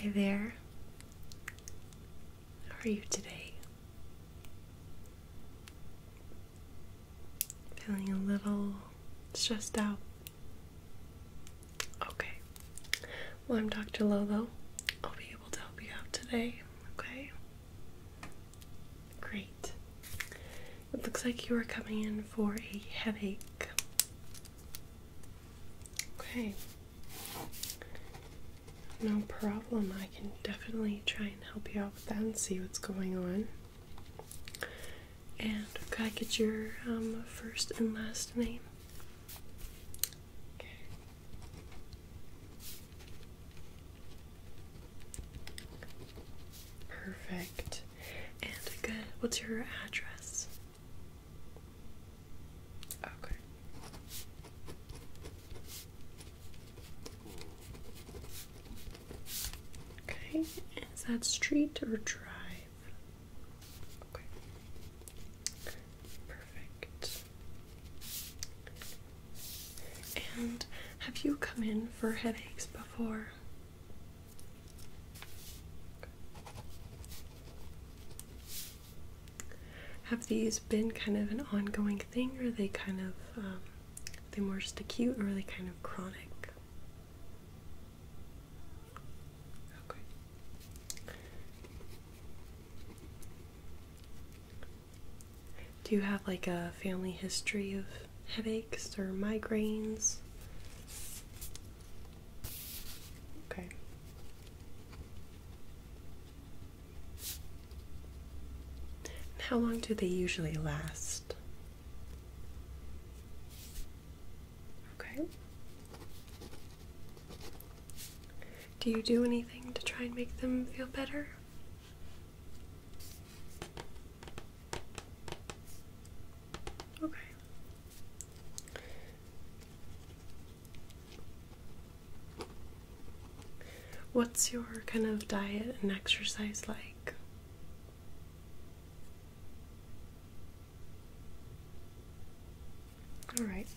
Hi there. How are you today? Feeling a little stressed out? Okay. Well, I'm Dr. Lolo. I'll be able to help you out today, okay? Great. It looks like you are coming in for a headache. Okay. No problem. I can definitely try and help you out with that and see what's going on. And could I get your um, first and last name? Perfect. And good. Uh, what's your address? Okay. Okay, is that street or drive? Okay. Perfect. And have you come in for headaches before? Have these been kind of an ongoing thing, or are they kind of um, are they more just acute, or are they kind of chronic? Do you have like a family history of headaches or migraines? Okay. How long do they usually last? Okay. Do you do anything to try and make them feel better? Okay. What's your kind of diet and exercise like? All right.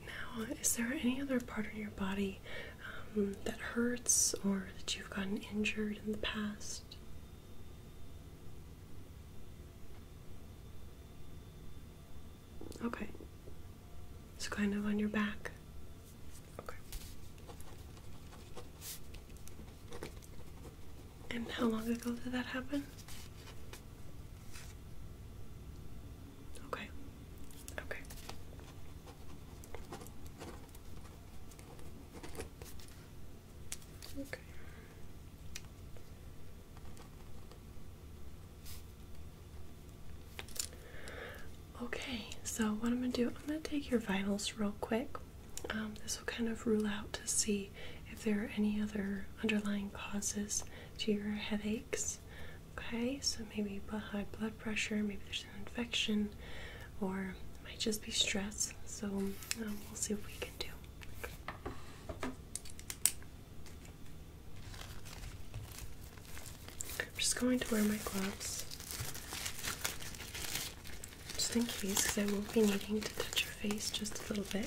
Now, is there any other part of your body um, that hurts or that you've gotten injured in the past? next. Okay. So kind of on your back. Okay. And how long ago did that happen? Okay. Okay. Okay. Okay, so what I'm gonna do, I'm gonna take your vitals real quick. Um, this will kind of rule out to see if there are any other underlying causes to your headaches. Okay, so maybe high blood pressure, maybe there's infection, infection, or it might just be stress. So um, we'll see what we can do. I'm just going to wear my gloves just in case because I will be needing to touch your face just a little bit.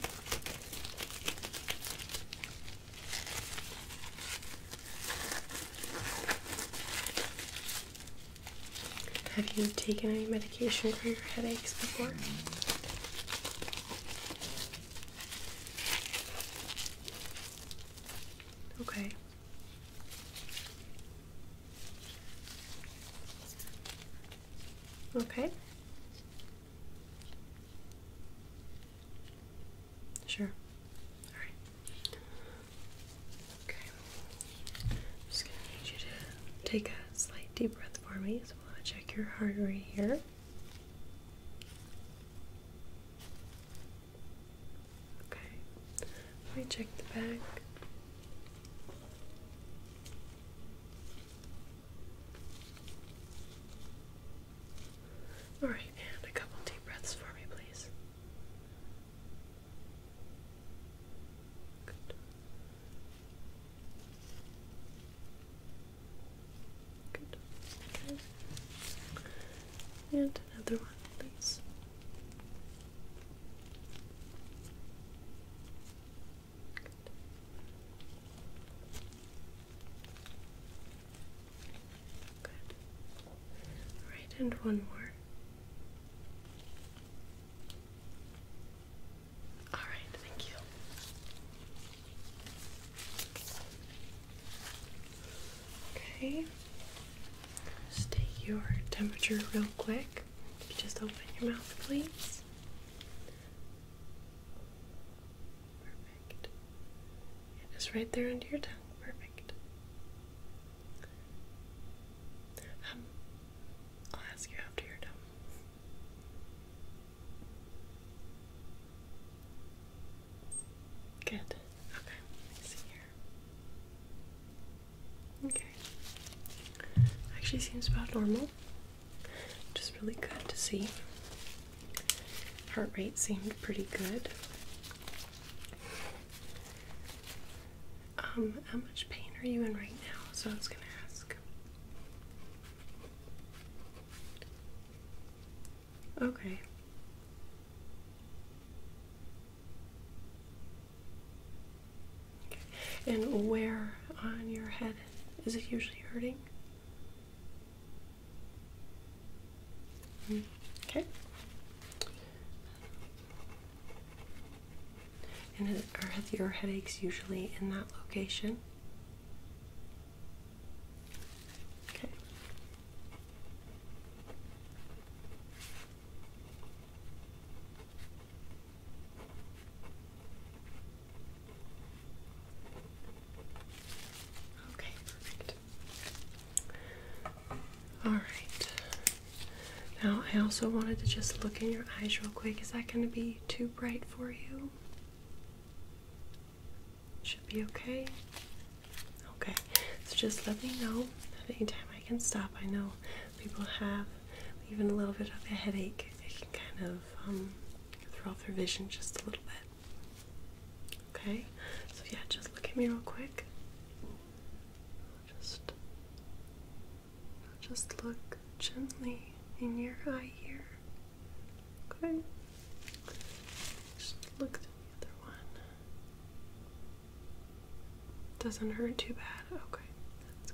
Have you taken any medication for your headaches before? Okay. Okay. Sure. All right. Okay. I'm just going to need you to take a slight deep breath for me. So we'll check your heart rate here. Okay. Let me check the back. All right, and a couple deep breaths for me, please. Good. Good. Okay. And another one, please. Good. Good. All right, and one more. All right, thank you. Okay. Just take your temperature real quick. just open your mouth, please. Perfect. Yeah, just right there under your tongue. Perfect. Um, I'll ask you after you're done. Good. Okay, let me see here. Okay. Actually seems about normal. Just really good to see. Heart rate seemed pretty good. Um, how much pain are you in right now? So I was gonna ask. Okay. Okay. And where on your head is it usually hurting? Mm, okay. And are your headaches usually in that location? Okay. Okay, perfect. All right. Now, I also wanted to just look in your eyes real quick. Is that going to be too bright for you? Should be okay. Okay, so just let me know at any time I can stop. I know people have even a little bit of a headache. they can kind of um, throw off their vision just a little bit. Okay, so yeah, just look at me real quick. Just i just look gently in your eye here. Okay. Just look through the other one. Doesn't hurt too bad. Okay, that's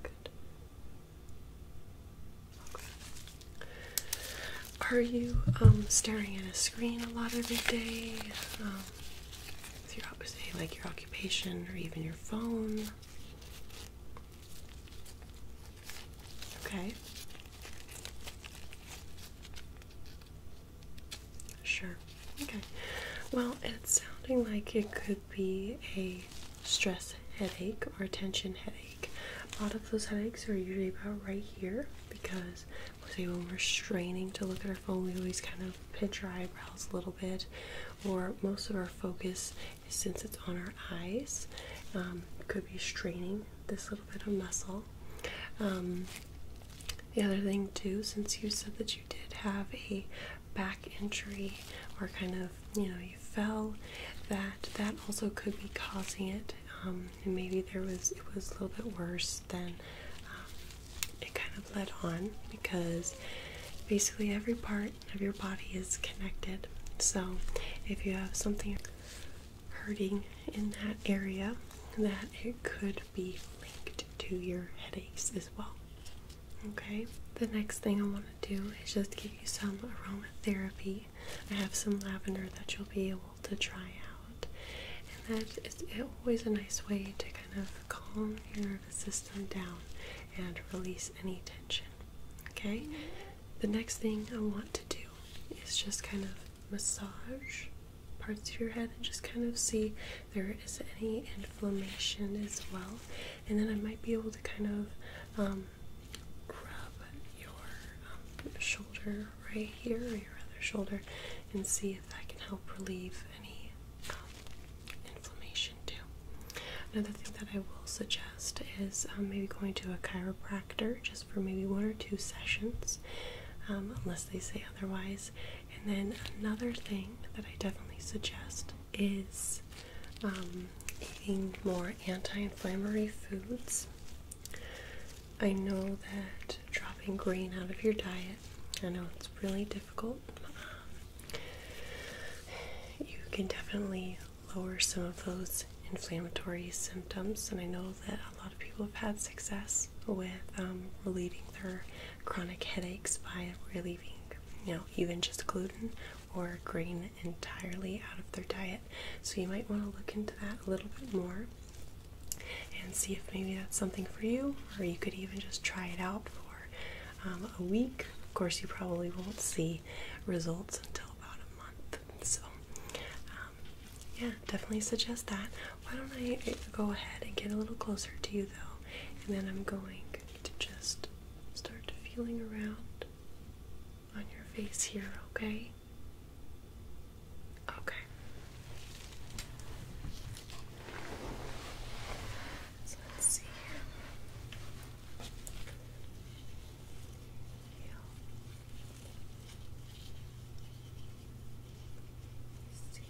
good. Are you um, staring at a screen a lot every day? Is um, your, say, like your occupation or even your phone? Okay. Sure. Okay. Well, it's sounding like it could be a stress headache or a tension headache. A lot of those headaches are usually about right here because we say when we're straining to look at our phone, we always kind of pinch our eyebrows a little bit or most of our focus since it's on our eyes, um, could be straining this little bit of muscle. Um, the other thing, too, since you said that you did have a back injury or kind of you know you fell that that also could be causing it um, and maybe there was it was a little bit worse than it kind of led on because basically every part of your body is connected. So, if you have something hurting in that area, that it could be linked to your headaches as well. Okay, the next thing I want to do is just give you some aromatherapy. I have some lavender that you'll be able to try out, and that is always a nice way to kind of calm your system down and release any tension. Okay? The next thing I want to do is just kind of massage parts of your head and just kind of see if there is any inflammation as well. And then I might be able to kind of um, grab your um, shoulder right here or your other shoulder and see if that can help relieve any um, inflammation. Another thing that I will suggest is um, maybe going to a chiropractor just for maybe one or two sessions, um, unless they say otherwise. And then another thing that I definitely suggest is um, eating more anti-inflammatory foods. I know that dropping grain out of your diet, I know it's really difficult you can definitely lower some of those inflammatory symptoms, and I know that a lot of people have had success with um, relieving their chronic headaches by relieving, you know, even just gluten or grain entirely out of their diet. So you might want to look into that a little bit more and see if maybe that's something for you, or you could even just try it out for um, a week. Of course, you probably won't see results until about a month. So, um, yeah, definitely suggest that. Why don't I uh, go ahead and get a little closer to you though, and then I'm going to just start feeling around on your face here, okay? Okay. So let's see here. Feel see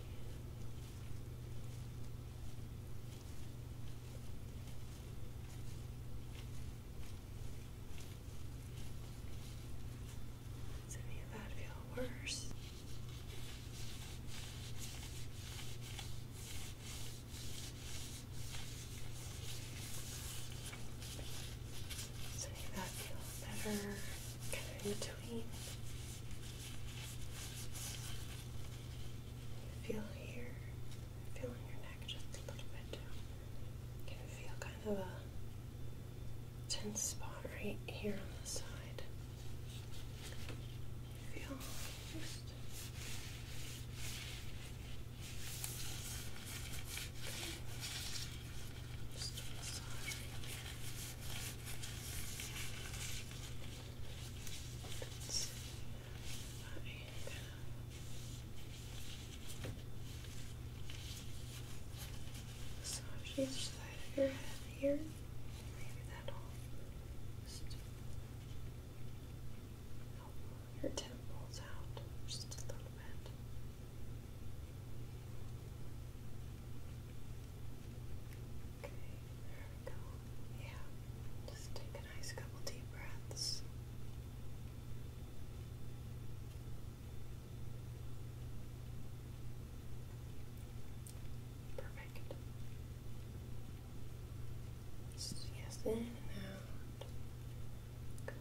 does any of that feel worse? that feel better, kind between. Feel here, feel in your neck just a little bit too. can feel kind of a tense spot right here on the side. Feel just just a side of your head here. Maybe that'll just your temples out just a little bit. Okay, there we go. Yeah, just take a nice couple deep breaths. Perfect. Just yes, in and out. Good.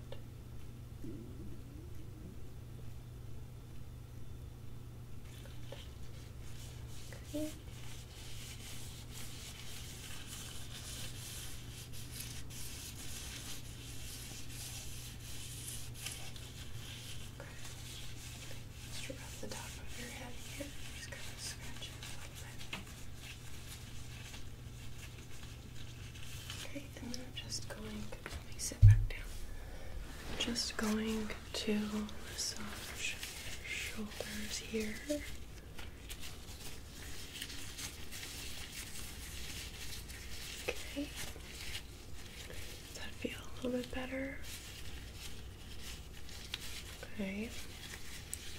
Okay. Just rub the top of your head here. Just kind of scratch it a little bit. Okay, and then I'm just going let sit back down. just going to massage shoulders here. Okay. Does that feel a little bit better? Okay.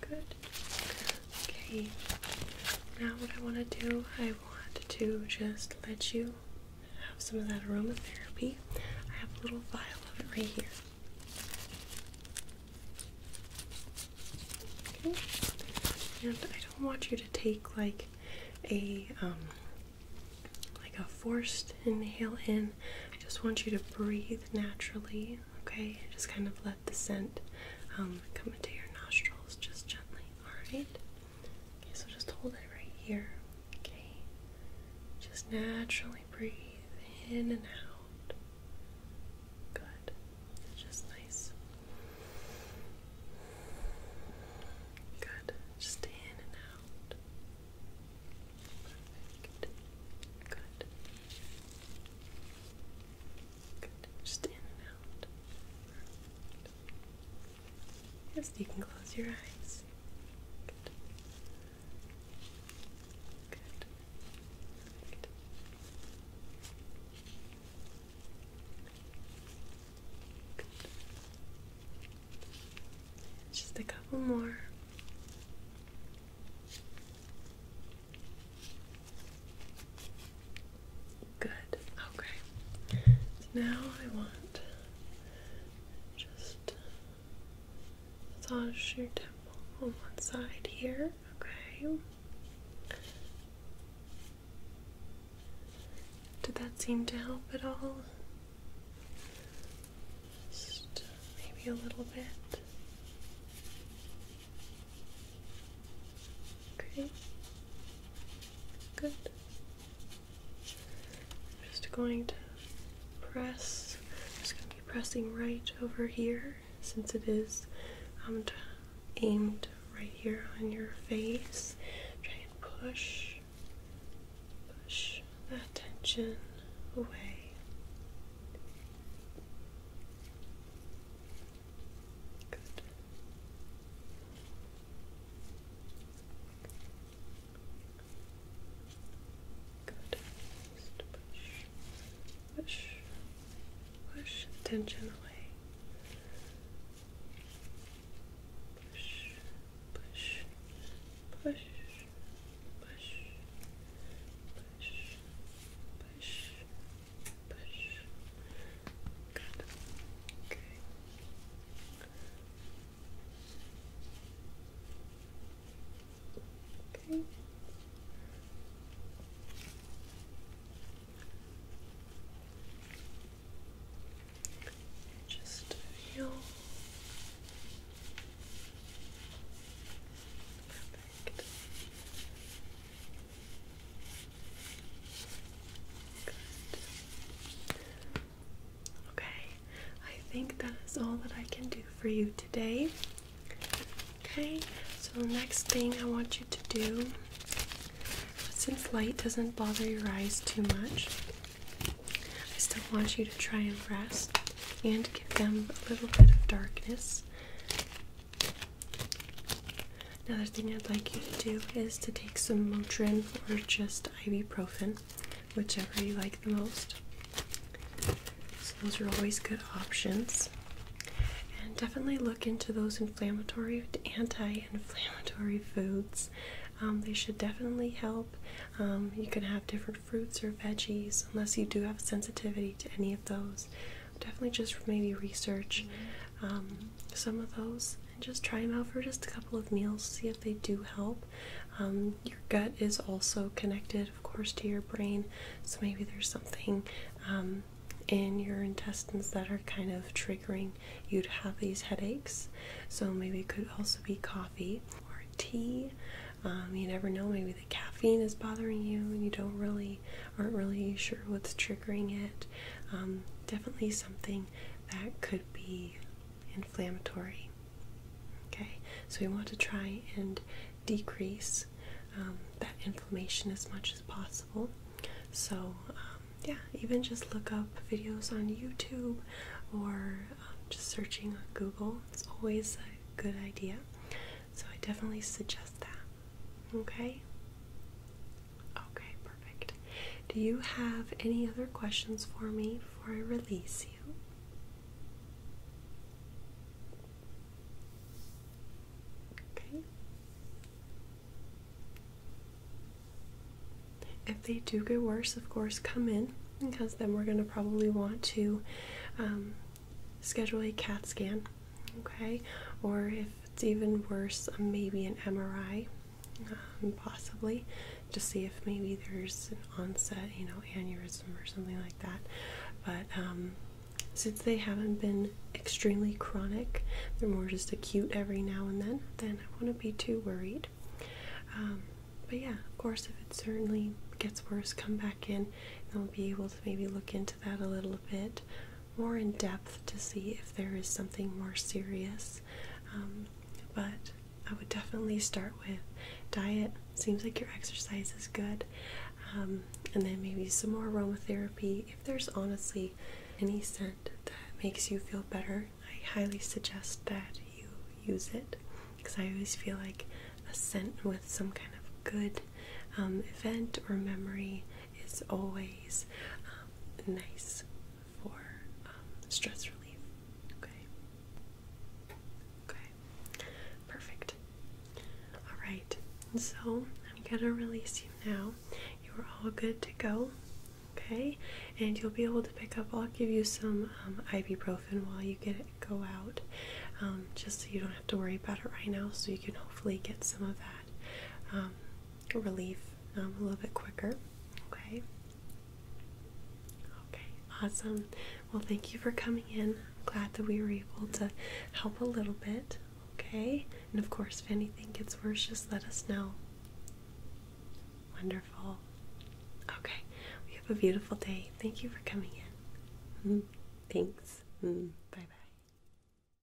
Good. Okay. Now, what I want to do, I want to just let you have some of that aromatherapy. I have a little vial of it right here. Okay. And I don't want you to take like a um, like a forced inhale in. I just want you to breathe naturally, okay? Just kind of let the scent um, come into your nostrils just gently. Alright? Okay, so just hold it right here. Okay? Just naturally breathe in and out. Good. Just nice. Good. Just in and out. Perfect. Good. Yes, you can close your eyes. Good. Good. Good. Just a couple more. Good. Okay. now I want just massage your temple on one side here. Okay. Did that seem to help at all? Just maybe a little bit. Okay. Good. I'm just going to press. I'm just going to be pressing right over here since it is um, aimed right here on your face. Try and push, push that tension away. Good. Good. Just push, push, push tension away. Push, push, push, push, push, push, push. Good. Okay. Just feel Okay, I think that is all that I can do for you today. Okay, so the next thing I want you to do, since light doesn't bother your eyes too much, I still want you to try and rest and give them a little bit of darkness. Another thing I'd like you to do is to take some Motrin or just ibuprofen, whichever you like the most. So, those are always good options. And definitely look into those inflammatory, anti inflammatory foods. Um, they should definitely help. Um, you can have different fruits or veggies, unless you do have sensitivity to any of those definitely just maybe research um, some of those and just try them out for just a couple of meals, see if they do help. Um, your gut is also connected, of course, to your brain, so maybe there's something um, in your intestines that are kind of triggering you to have these headaches. So maybe it could also be coffee or tea. you never know, maybe the caffeine is bothering you and you don't really aren't really sure what's triggering it. Um, definitely something that could be inflammatory. Okay, so we want to try and decrease um, that inflammation as much as possible. So, um, yeah, even just look up videos on YouTube or just searching Google. It's always a good idea. So, I definitely suggest that. Okay? Okay, perfect. Do you have any other questions for me before I release you? Okay. If they do get worse, of course, come in because then we're going to probably want to um, schedule a CAT scan okay, or if it's even worse, um, maybe an MRI, um, possibly, to see if maybe there's an onset, you know, aneurysm or something like that. But um, since they haven't been extremely chronic, they're more just acute every now and then, then I wouldn't be too worried. but yeah, of course, if it certainly gets worse, come back in and we'll be able to maybe look into that a little bit more in depth to see if there is something more serious. Um, but I would definitely start with diet. Seems like your exercise is good. Um, and then maybe some more aromatherapy. If there's honestly any scent that makes you feel better, I highly suggest that you use it because I always feel like a scent with some kind of good um, event or memory it's always um, nice for um, stress relief. Okay. Okay. Perfect. All right. So I'm gonna release you now. You are all good to go. Okay, and you'll be able to pick up. I'll give you some um, ibuprofen while you get go out, just so you don't have to worry about it right now. So you can hopefully get some of that relief um, a little bit quicker. Okay. Okay, awesome. Well, thank you for coming in. I'm glad that we were able to help a little bit. Okay, and of course, if anything gets worse, just let us know. Wonderful. Okay, we have a beautiful day. Thank you for coming in. Mm, thanks. Mm, bye bye.